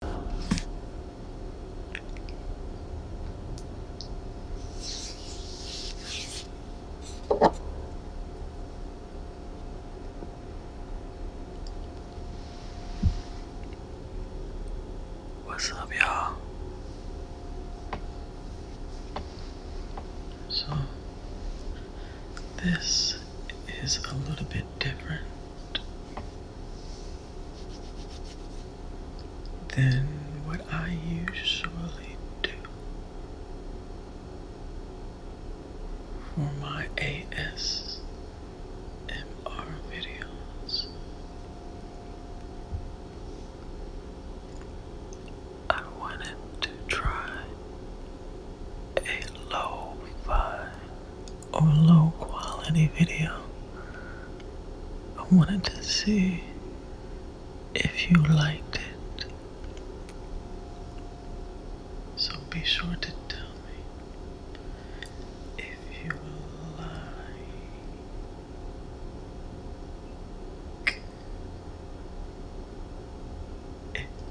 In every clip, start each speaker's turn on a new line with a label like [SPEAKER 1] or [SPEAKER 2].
[SPEAKER 1] What's up, y'all? So, this is a little bit different than what I usually do for my ASMR videos. I wanted to try a low fi or low quality video. I wanted to see if you liked it. So be sure to tell me if you like it.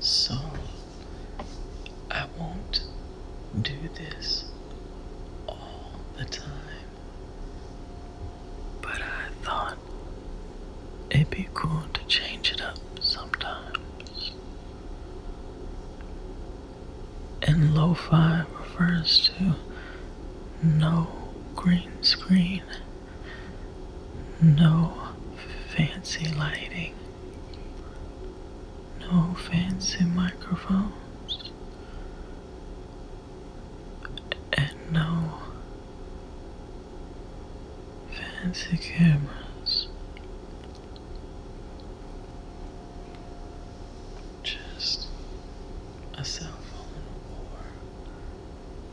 [SPEAKER 1] So I won't do this all the time, but I thought It'd be cool to change it up sometimes. And lo fi refers to no green screen, no fancy lighting, no fancy microphones, and no Fancy cameras. Just a cell or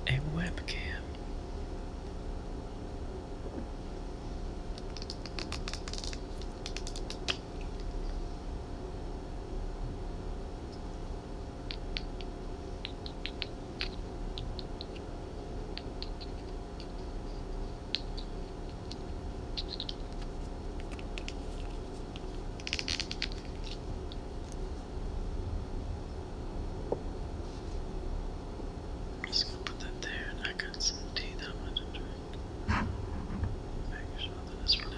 [SPEAKER 1] a webcam. I'm just put that there, I got some tea that I'm to drink. Make sure that it's really,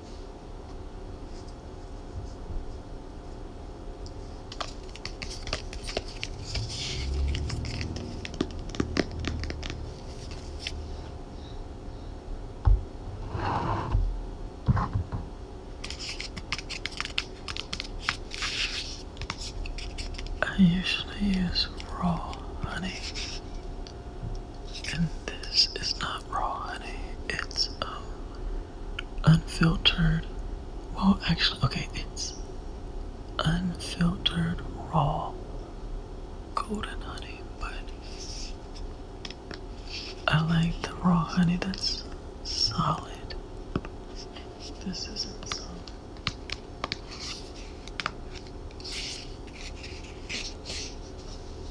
[SPEAKER 1] I usually use raw honey and this is not raw honey. It's um, unfiltered. Well, actually, okay, it's unfiltered raw golden honey, but I like the raw honey that's solid. This isn't solid.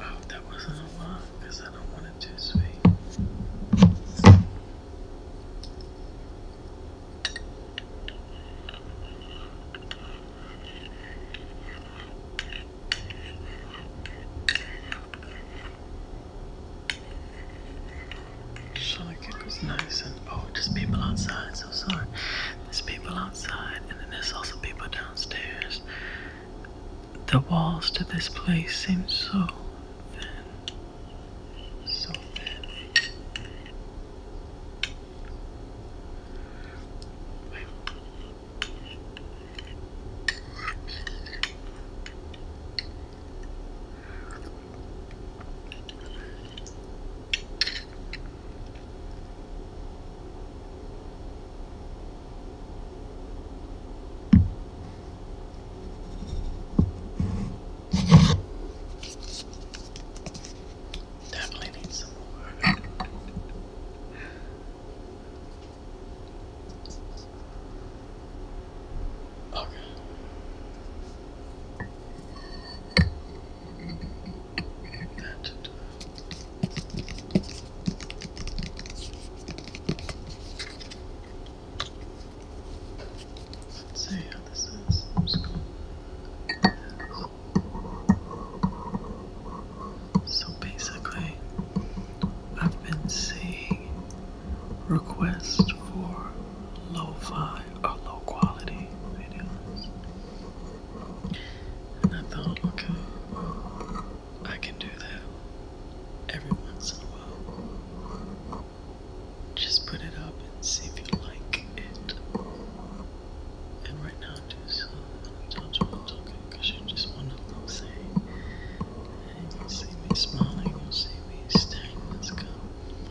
[SPEAKER 1] Oh, that wasn't a lot because I don't want it too sweet it was nice and oh, there's people outside. So sorry, there's people outside, and then there's also people downstairs. The walls to this place seem so thin, so thin. Definitely need some more. Okay. so basically, I've been seeing requests for lo or low quality videos. And I thought, okay, I can do that every once in a while. Just put it up and see if you like it. And right now, just uh, don't you want talking because you just want to look say. And you'll see me smiling, you'll see me staring at this cup.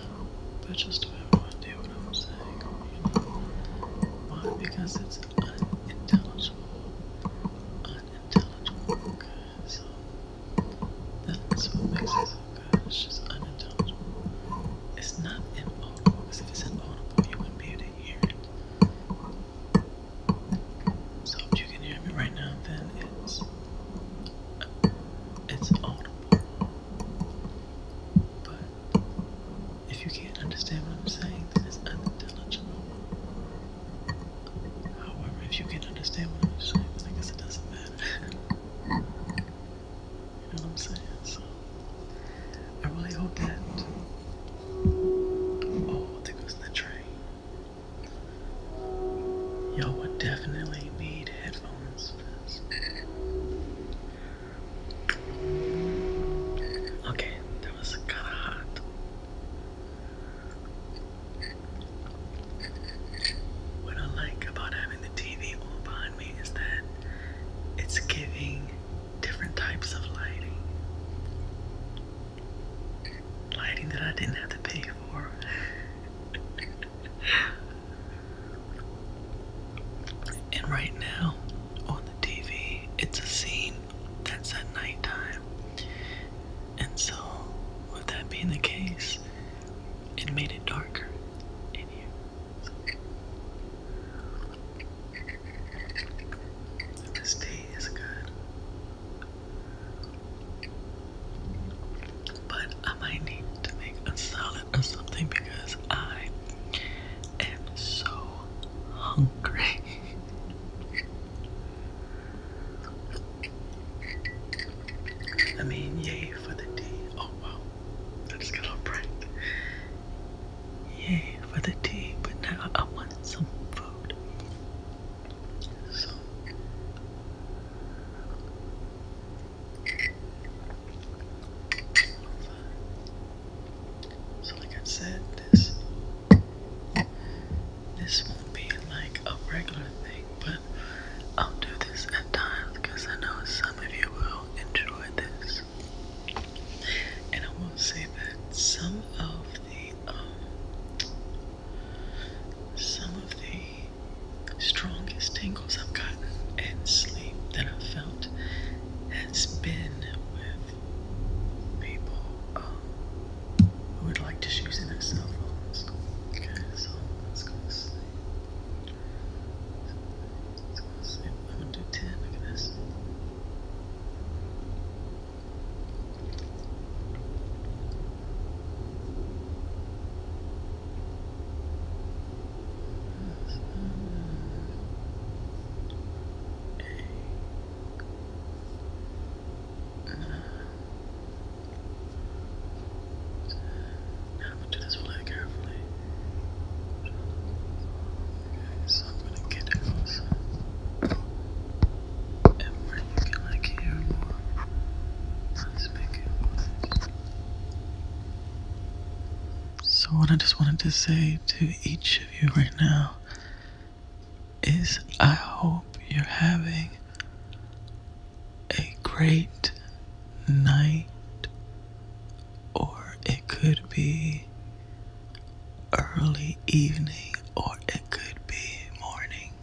[SPEAKER 1] So that's just have one idea what I'm saying. You know? Why? Because it's unintelligible. Unintelligible, okay? So that's what makes it so good. It's just unintelligible. It's not inaudible, because if it's inaudible, you wouldn't be able to hear it. So if you can hear me right now, then it's audible. But if you can't understand what I'm saying, then it's unintelligible. However, if you can understand what I'm saying, then I guess it doesn't matter. You know what I'm saying? So I really hope that. Oh, there goes the train. Y'all would definitely need headphones for Okay, that was kinda hot. What I like about having the TV all behind me is that it's giving different types of lighting. Lighting that I didn't have to pay for. and right now on the TV, it's a scene that's at nighttime. And so, with that being the case, it made it darker in here. This tea is good. But I might need to make a salad or something because I am so hungry. I mean, yay for the tea. Oh wow, I just got all bright. Yay for the tea, but now I want some food. So. like I said, this this won't be like a regular thing, but I'll do this at times because I know some of you will enjoy this. And I will say that some of the um some of the strongest tingles I've gotten in sleep that I've felt has been with people um, who would like to use in their cell phones. Okay, so let's go to sleep. Let's go to I'm gonna do 10, look at this. Now we'll do this really carefully. Okay, so I'm gonna get it so what I just wanted to say to each of you right now is I hope you're having a great night or it could be early evening or it could be morning.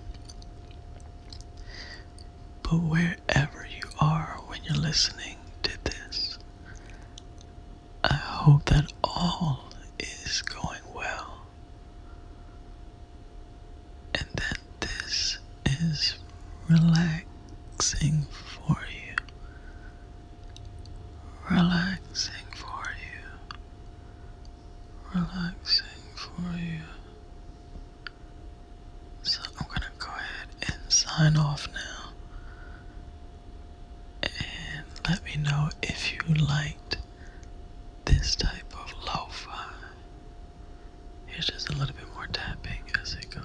[SPEAKER 1] But wherever you are when you're listening to this, I hope that all is going well and that this is relaxing for you. Relaxing for you relaxing for you. So I'm gonna go ahead and sign off now. And let me know if you liked this type of lo-fi. Here's just a little bit more tapping as it goes.